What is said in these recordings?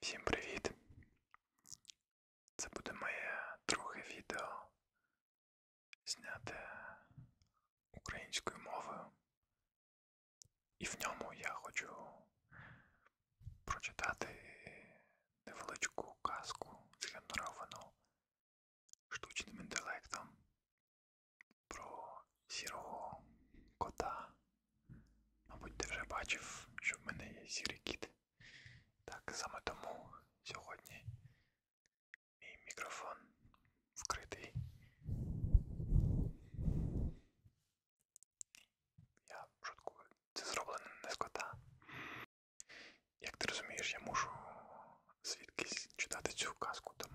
Всім привіт! Це буде моє друге відео зняте українською мовою. І в ньому я хочу прочитати невеличку казку згенеровану штучним інтелектом, про сірого кота. Мабуть, ти вже бачив, що в мене є сірий кіт. Так саме тому сьогодні мій мікрофон вкритий. Я шуткую, це зроблено не з кота. Як ти розумієш, я мушу звідкись читати цю казку, тому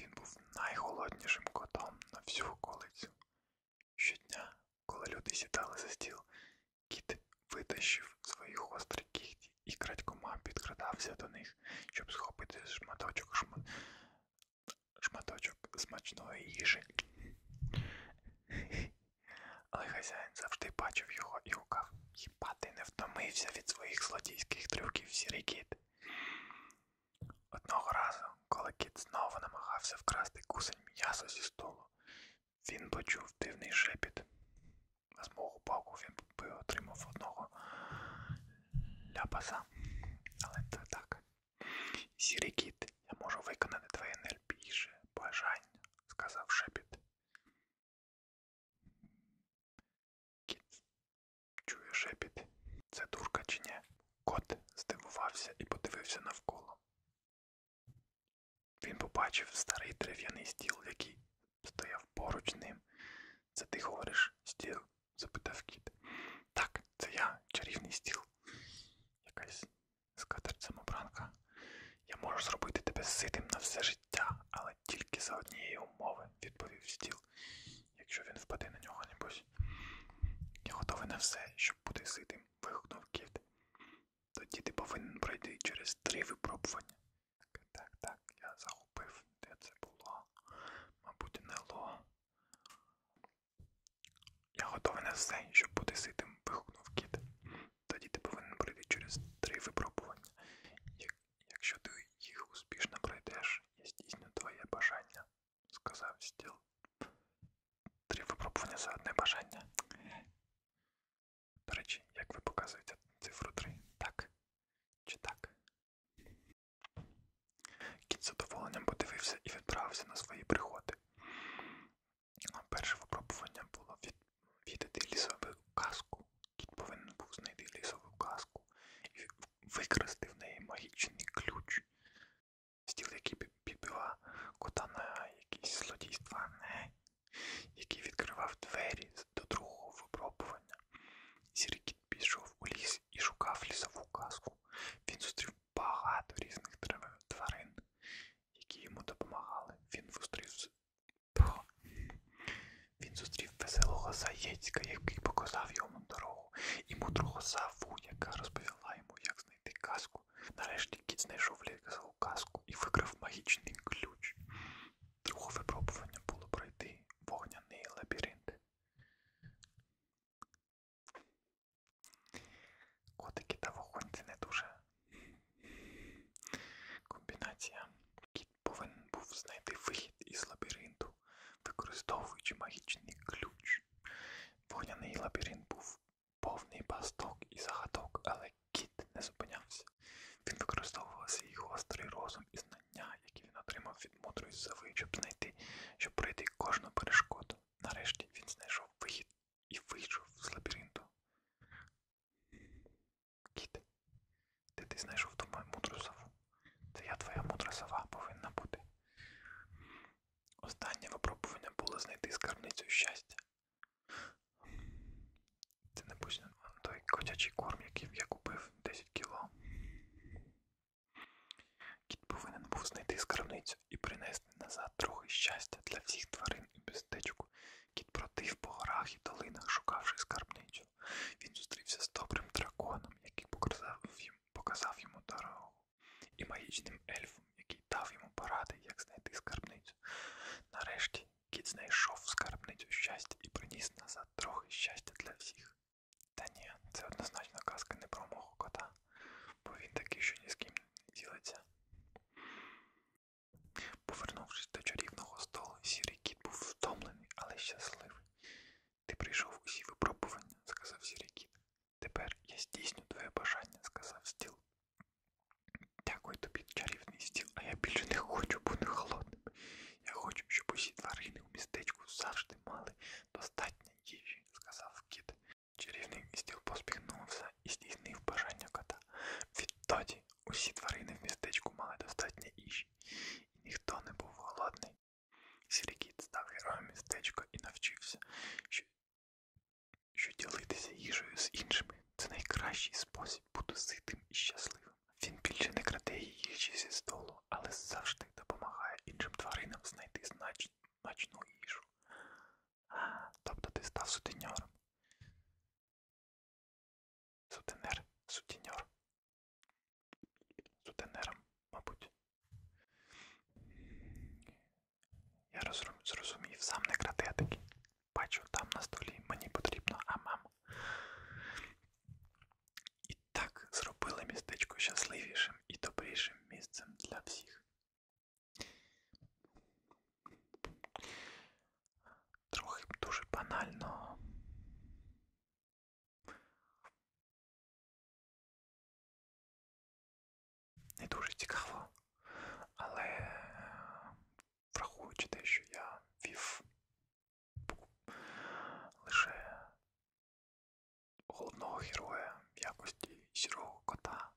Він був найголоднішим котом на всю околицю. Щодня, коли люди сідали за стіл, кіт витащив свої гострі кігті і крадькома підкрадався до них, щоб схопити шматочок шма... шматочок смачної їжі. Але хазяїн завжди бачив його і гукав. Хіба ти не втомився від своїх злодійських трюків, сірий кіт? Одного разу, коли кіт знову намагався вкрасти кусень м'яса зі столу, він почув дивний шепіт. З мого боку він отримав одного ляпаса. Але це так. Сірий кіт, я можу виконати твоє найбільше бажання, сказав шепіт. Кіт чує шепіт. Це дурка чи ні? Кот здивувався і подивився навколо. Він побачив старий дерев'яний стіл, який стояв поруч ним. Це ти говориш стіл? запитав кіт. Так, це я, чарівний стіл. Якась скатерть самобранка. Я можу зробити тебе ситим на все життя, але тільки за однієї умови, відповів стіл якщо він впаде на нього небось. Я готовий на все, щоб бути ситим, вигукнув кіт. Тоді ти повинен пройти через три випробування. Так, так, я загубив, де це було. Мабуть, не ло. Я готовий на все, щоб бути ситим, вигукнув кіт. Тоді ти повинен пройти через три випробування. Якщо ти їх успішно пройдеш, я здійсню твоє бажання, сказав стіл. Три випробування за одне бажання. До речі, як ви показуєте цифру 3? Так? Чи так? Кіт з задоволенням подивився і відправився на свої пригоди. Перше випробування було відвідати лісову казку. Кіт повинен був знайти лісову казку маску і викрасти в неї магічний ключ, стіл, який підбила кота на якісь злодійства, який відкривав двері до другого випробування. Сіркіт пішов у ліс і шукав лісову казку. Він зустрів багато різних тварин, які йому допомагали. Він зустрів він зустрів веселого заєцька, який показав йому дорогу, і мудрого саву, яка розповіла йому, як знайти казку. Нарешті кіт знайшов лісову казку і викрив магічний ключ. Друге випробування було пройти вогняний лабіринт. Котики та вогонці не дуже комбінація. Кіт повинен був знайти вихід із лабіринту, використовуючи магічний ключ. Вогняний лабіринт був повний пасток і загадок, але кіт не зупинявся. Він використовував свій гострий розум і знання, які він отримав від мудрої сови, щоб знайти, щоб пройти кожну перешкоду. Нарешті він знайшов вихід і вийшов з лабіринту. Кіт, де ти знайшов ту мудру сову? Це я твоя мудра сова повинна бути. Останнє випробування було знайти скарбницю щастя. Це не пусть той котячий корм, який я купив 10 кіло. Кіт повинен був знайти скарбницю і принести назад трохи щастя для всіх тварин і містечку. Кіт против по горах і долинах, шукавши скарбницю лісу. Він зустрівся з добрим драконом, який показав йому дорогу, і магічним ельфом, який дав йому поради, як знайти скарбницю. Нарешті кіт знайшов скарбницю щастя і приніс назад трохи щастя для всіх. Та ні, це однозначно казка не про мого кота, бо він такий, що ні з ким не ділиться. Повернувшись до чарівного столу, сірий кіт був втомлений втомлений, але щасливий. Ти прийшов усі випробування, сказав Сірікіт. Тепер я здійсню твоє бажання, сказав стіл. Дякую тобі, чарівний стіл, а я більше не хочу бути холодним. Я хочу, щоб усі тварини у містечку завжди мали достатньо їжі, сказав кіт. Чарівний стіл поспіхнувся і здійснив бажання кота. Відтоді усі тварини в містечку мали достатньо їжі їжі, і ніхто не був голодний. Сірікіт став героєм містечка і навчився, що, що ділитися їжею з іншими це найкращий спосіб бути ситим і щасливим. Він більше не краде їжі зі столу, але завжди допомагає іншим тваринам знайти значну їжу. Тобто ти став сутеньором. Сутенер, сутіньор. Сутенером, мабуть. Я зрозумів, сам не кратетик. Бачу, там на столі мені потрібно амам. І так зробили містечко щасливішим і добрішим місцем для всіх трохи дуже банально. Не дуже цікаво, але е, враховуючи те, що я вів лише головного героя в якості сірого кота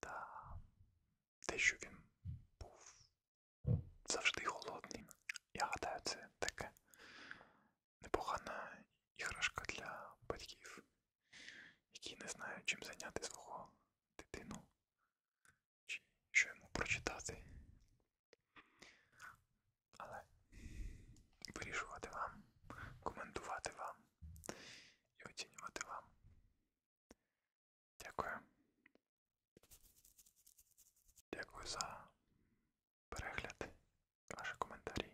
та те, що він був завжди голодний. Я гадаю, це таке непогана іграшка для батьків, які не знають, чим зайняти свого дитину, чи що йому прочитати. Але вирішувати вам, коментувати вам і оцінювати вам. Дякую. Дякую за перегляд, ваші коментарі.